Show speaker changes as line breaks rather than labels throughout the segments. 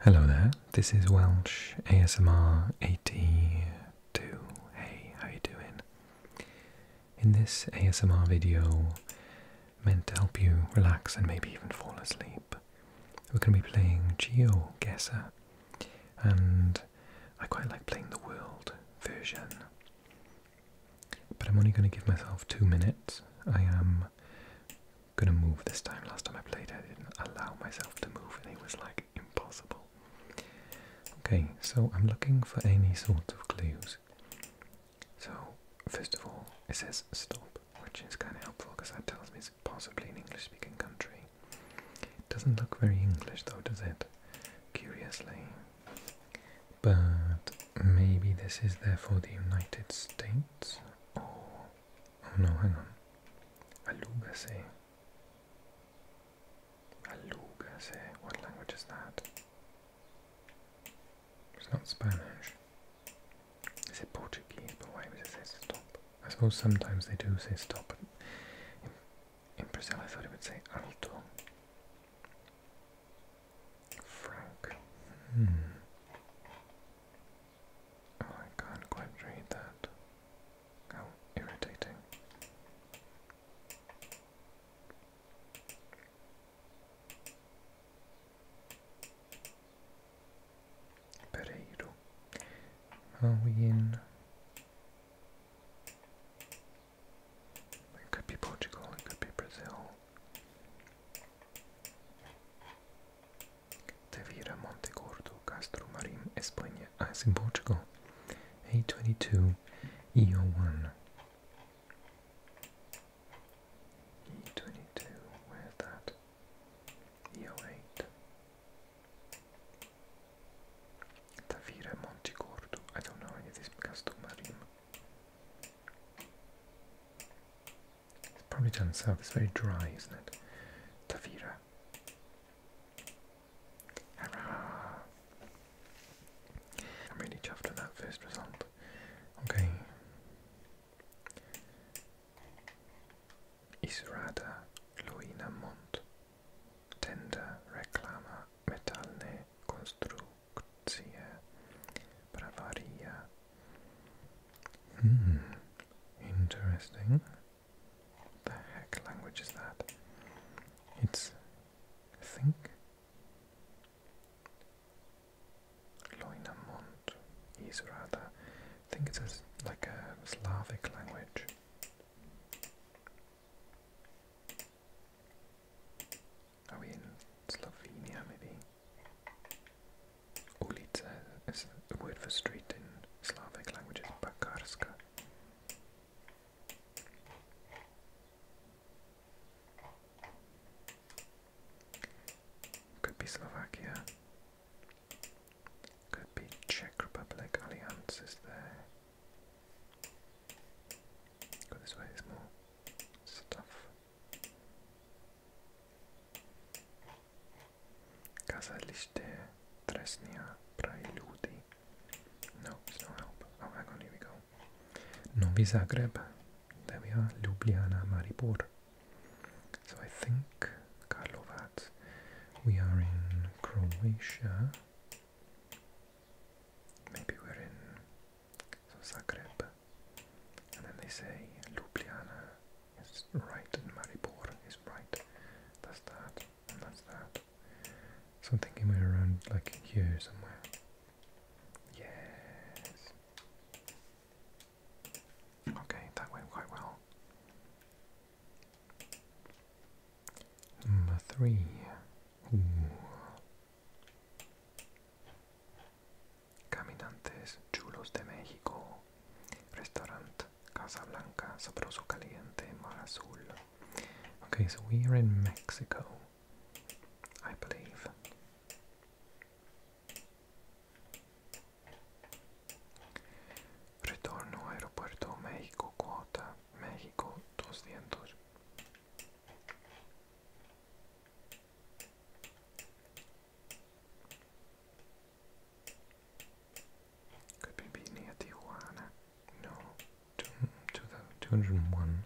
Hello there, this is Welsh ASMR 82. Hey, how you doing? In this ASMR video, meant to help you relax and maybe even fall asleep, we're going to be playing GeoGuessr, and I quite like playing the world version. But I'm only going to give myself two minutes. I am gonna move this time. Last time I played, I didn't allow myself to move, and it was like impossible. Okay, so I'm looking for any sort of clues. So, first of all, it says stop, which is kind of helpful because that tells me it's possibly an English speaking country. It doesn't look very English though, does it? Curiously. But maybe this is there for the United States or Oh no, hang on. Alugase. Alugase. What language is that? It's not Spanish. Is it Portuguese? But why would it say stop? I suppose sometimes they do say stop. But in, in Brazil, I thought it would say alto. Frank. Hmm. I oh can't quite read that. How irritating. Pereiro. Are in? It could be Portugal, it could be Brazil. Tavira, Monte Gordo, Castro Marim, Espanha. Ah, it's in Portugal. A22, EO1. E22, where's that? EO8. Tavira, Monte Gordo. I don't know any of this Castro Marim. It's probably down south, it's very dry, isn't it? Tavira. I'm really chuffed with that first result. Okay. Isurada, Luina Mont, Tenda Reclama, Metalne Construct. Grazie. Eh. Bravaria. Hmm. Interesting. the heck language is that? It's I think Loinamont is rather I think it's like a Slavic language. Are we in Slovenia, maybe? Ulica is the word for street in Slavic languages, Bakarska. Could be Slovakia. Could be Czech Republic. Alliance there. Go this way, there's more stuff. Kazaliście tresnia preludi. Oh, Novi Zagreb. There we are. Ljubljana, Maribor. So I think, Karlovac, we are in Croatia. Maybe we're in so Zagreb, and then they say Ljubljana is right and Maribor is right. That's that, and that's that. So I'm thinking we're around like here somewhere. Yes. Okay, that went quite well. Number three. Caminantes chulos de México. Restaurant Casa Blanca, sabroso caliente, mar azul. Okay, so we are in Mexico, I believe. Retorno Aeropuerto México Cuota, México 200. Could be near Tijuana? No, to, to the 201.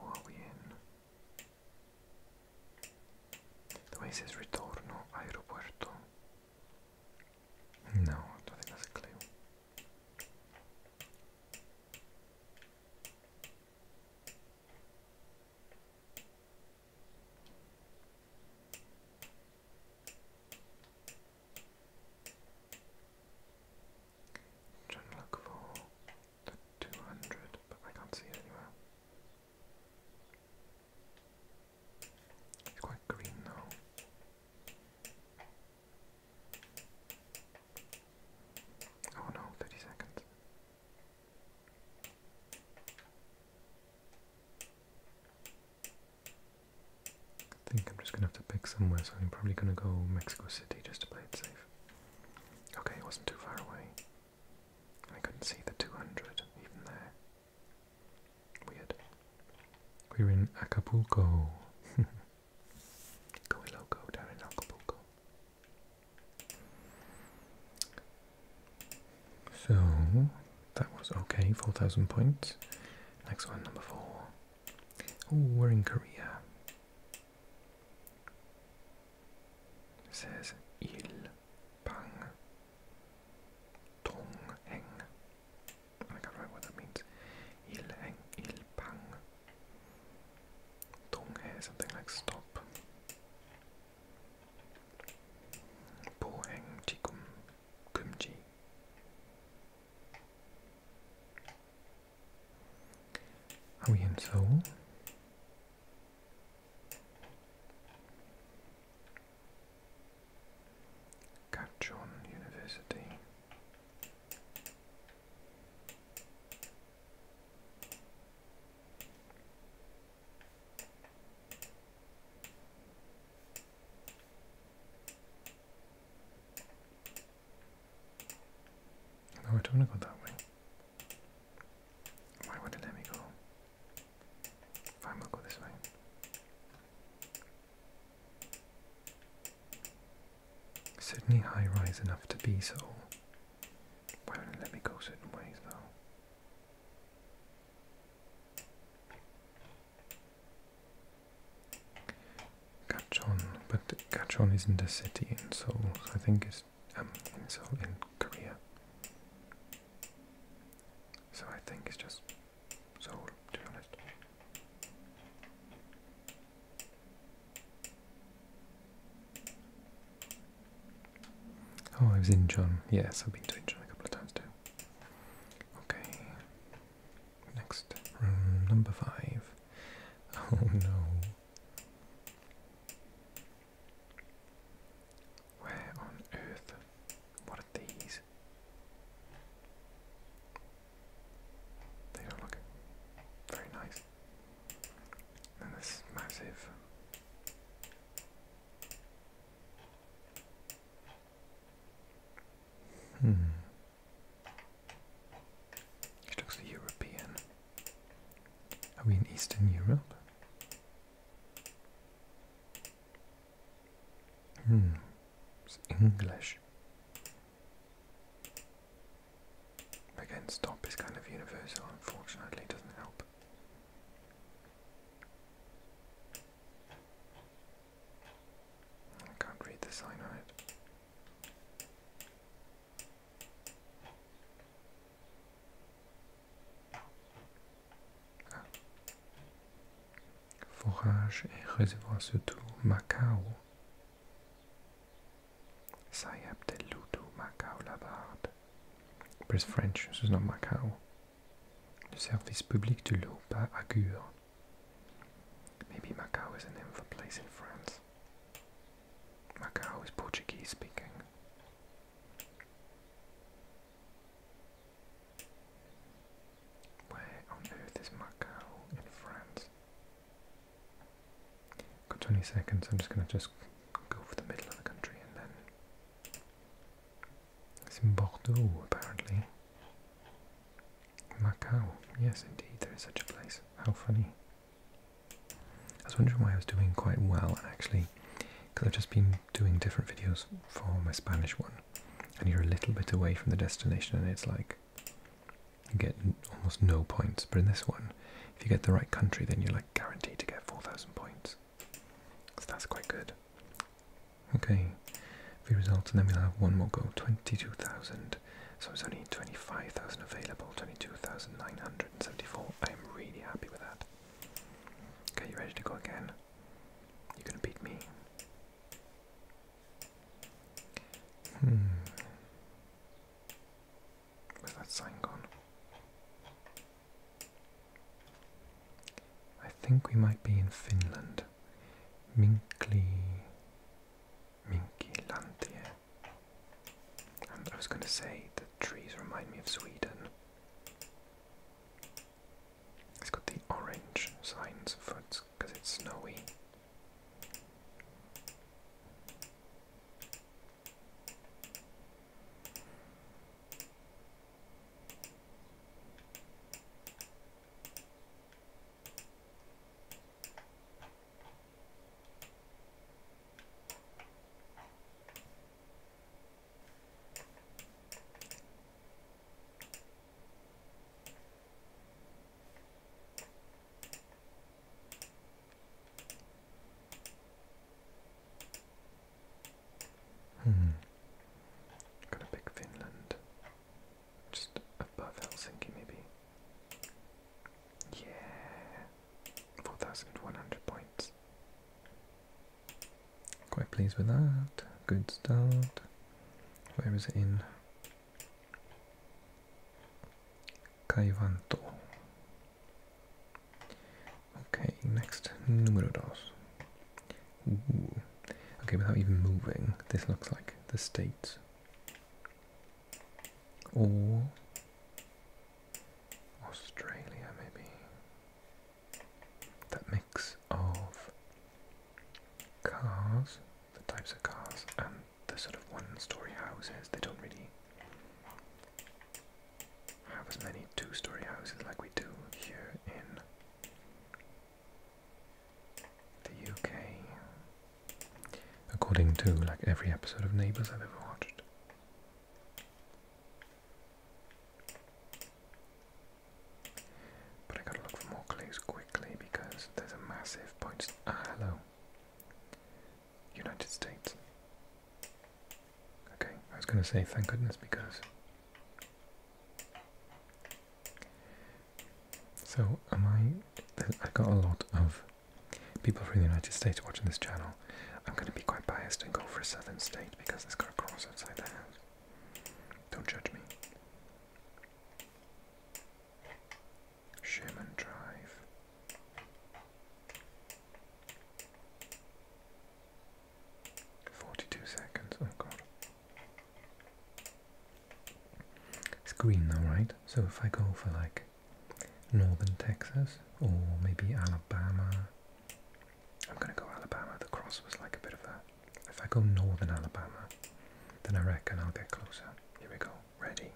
Or we in? The way says Retorno Aeropuerto. No, I don't think that's a clue. I'm trying to look for the 200, but I can't see it anywhere. It's quite green though. Oh no, 30 seconds. I think I'm just gonna have to pick somewhere, so I'm probably gonna go Mexico City just to play it safe. Okay, it wasn't too far away. I couldn't see the 200 even there. Weird. We're in Acapulco. Coiloco down in Acapulco. So that was okay, 4,000 points. Next one, number four. Oh, we're in Korea. says Il Bang Dong Heng Oh I can't remember what that means. Ilhang, ilpang. Donghae, something like stop. Boheng, jikum, kumji. Are we in Seoul? Kachon University. No, I don't want to go that way. Why would it let me go? Fine, we'll go this way. Certainly high rise enough to be so. Why wouldn't let me go certain ways though? Gachon, but Gachon isn't a city in Seoul, I think it's um, Seoul in Korea. So I think it's just Oh, I was in John. Yes, I've been to John a couple of times too. Okay. Next room number five. Oh no. Where on earth what are these? They don't look very nice. And this massive. Hmm. It looks European. Are we in Eastern Europe? Hmm, it's English. Again, stop is kind of universal, unfortunately, doesn't help. I can't read the sign forage et réservoir surtout Macao. Sayab del Lutu, Macao Labarde. Press français, ce nom Macao. Le service public de l'eau par Agur. Maybe Macao is a name of a place in France. Macao is Portuguese speaking. Where on earth is Macau in France? Got 20 seconds, I'm just going to just go for the middle of the country and then... It's in Bordeaux, apparently. Macau, yes indeed, there is such a place. How funny. I was wondering why I was doing quite well, actually, because I've just been doing different videos for my Spanish one, and you're a little bit away from the destination, and it's like you get almost no points. But in this one, if you get the right country, then you're like guaranteed to get 4,000 points. So that's quite good. Okay, the results, and then we'll have one more go 22,000. So it's only 25,000 available, 22,974. I am really happy with that. Okay, you ready to go again? You're gonna beat me. Hmm. Where's that sign gone? I think we might be in Finland. Minkli... Minkilantie. I was going to say the trees remind me of Sweden. It's got the orange signs for because it's snowy. Hmm. Gonna pick Finland. Just above Helsinki, maybe. Yeah. 4,100 points. Quite pleased with that. Good start. Where is it in? Kaivanto. Okay, next, numero dos. Okay, without even moving, this looks like the states. Or Australia, maybe that mix of cars, the types of cars, and the sort of one-story houses. They don't really have as many two-story houses like we do here in the UK. According to like every episode of Neighbours I've ever watched. But I gotta look for more clues quickly because there's a massive point. Ah, hello. United States. Okay, I was gonna say thank goodness because. So, am I. I've got a lot of people from the United States watching this channel. I'm gonna be quite biased and go for a southern state because it's got a cross outside the don't judge me. Sherman Drive. Forty two seconds, oh god. It's green though, right? So if I go for like northern Texas or maybe Alabama I'm going to go Alabama. The cross was like a bit of a. If I go northern Alabama, then I reckon I'll get closer. Here we go. Ready.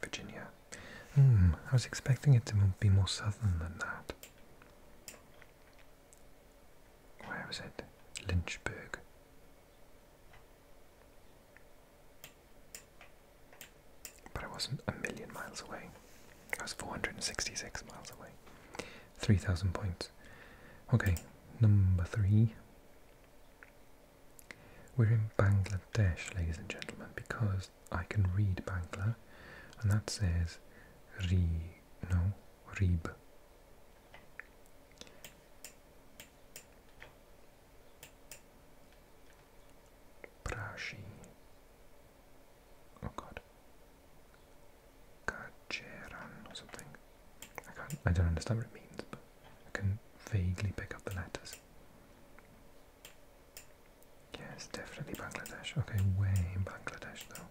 Virginia. Hmm, I was expecting it to be more southern than that. Where was it? Lynchburg. But I wasn't a million miles away. I was 466 miles away. 3,000 points. Okay, number three. We're in Bangladesh, ladies and gentlemen, because I can read Bangla, and that says Ri, no, Reeb. Prashi. Oh god. Caceran or something. I can't I don't understand what it means, but I can vaguely pick up the letters. Yes, definitely Bangladesh. Okay, way in Bangladesh though.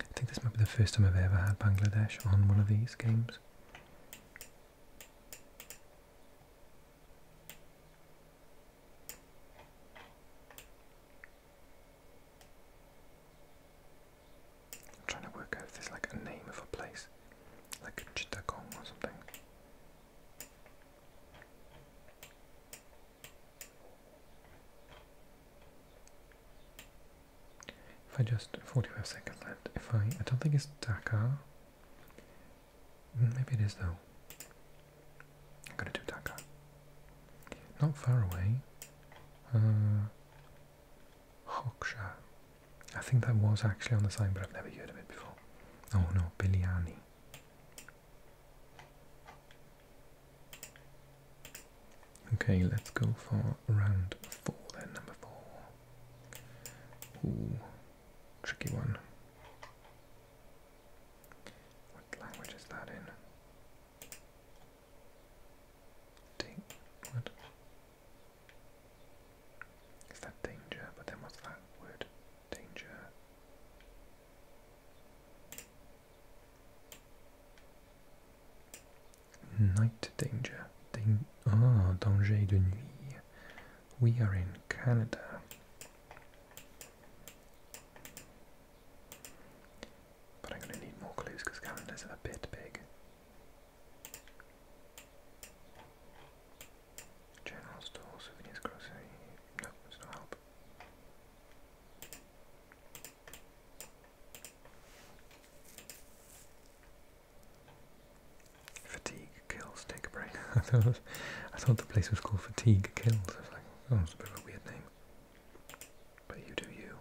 I think this might be the first time I've ever had Bangladesh on one of these games. I'm trying to work out if there's like a name of a place, like Chittagong or something. If I just 45 seconds left. If I I don't think it's Taka. Mm, maybe it is though. I'm gonna do Taka. Not far away. Uh, I think that was actually on the sign, but I've never heard of it before. Oh no, Biliani. Okay, let's go for round four then, number four. Ooh, tricky one. What language is that in? Ding, what? Is that danger? But then what's that word? Danger. Night danger. Dan oh, danger de nuit. We are in Canada. But I'm going to need more clues because Canada's a bit big. General store, souvenirs, grocery. No, help. Fatigue kills. Take a break. I thought the place was called Fatigue Kills. I like, oh, a bit of a weird name. But you do you.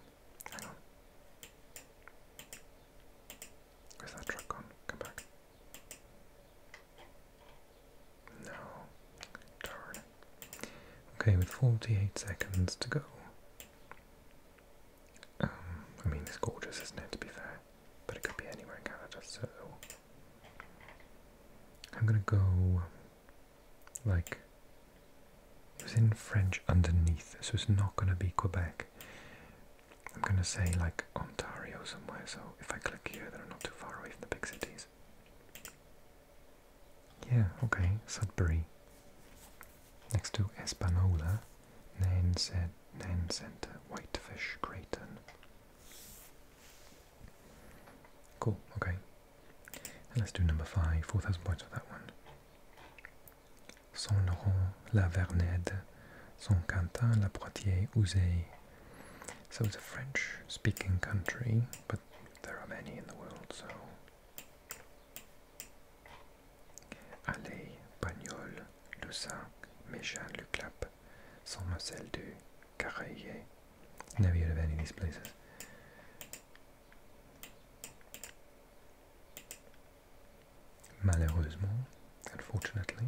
Where's that truck gone? Come back. No. Okay, with 48 seconds to go. Um, I mean, it's gorgeous, isn't it, to be fair? But it could be anywhere in Canada, so... I'm gonna go... Like... It in French underneath, so it's not gonna be Quebec. I'm gonna say, like, Ontario somewhere, so if I click here, they're not too far away from the big cities. Yeah, okay, Sudbury. Next to Espanola, Nanset, Nanset, Whitefish, Creighton. Cool, okay. let's do number five, 4,000 points for that one. Saint Laurent, La Vernède, Saint Quentin, La Poitiers, Uzé. So it's a French speaking country, but there are many in the world, so. Allais, Pagnol, Lussac, Méchal, Luclap, Saint Marcel du Caraillet. Never heard of any of these places. Malheureusement, unfortunately,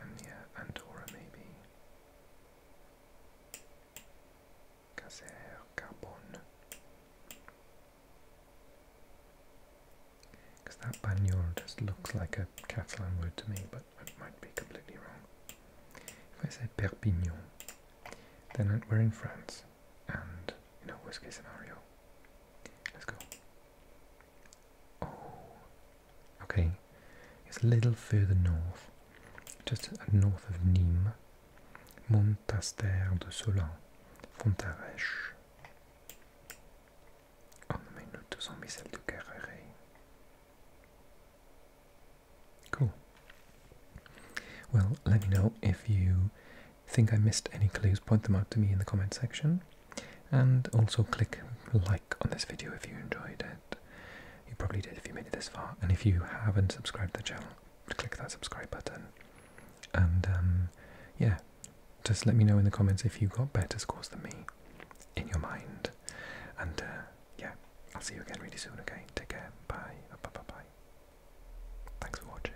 And yeah, Andorra maybe. Caser, Carbon. Because that Banyol just looks like a Catalan word to me, but I might be completely wrong. If I say Perpignan, then we're in France, and, in a worst case scenario. Let's go. Oh, okay, it's a little further north, just north of Nîmes, Montaster de Solan, Fontarèche. Oh, mais nous on met de Carréré. Cool. Well, let me know if you think I missed any clues, point them out to me in the comment section. And also click like on this video if you enjoyed it. You probably did if you made it this far. And if you haven't subscribed to the channel, click that subscribe button. And um, yeah, just let me know in the comments if you got better scores than me in your mind. And uh, yeah, I'll see you again really soon, okay? Take care. Bye. Bye. Bye. bye. Thanks for watching.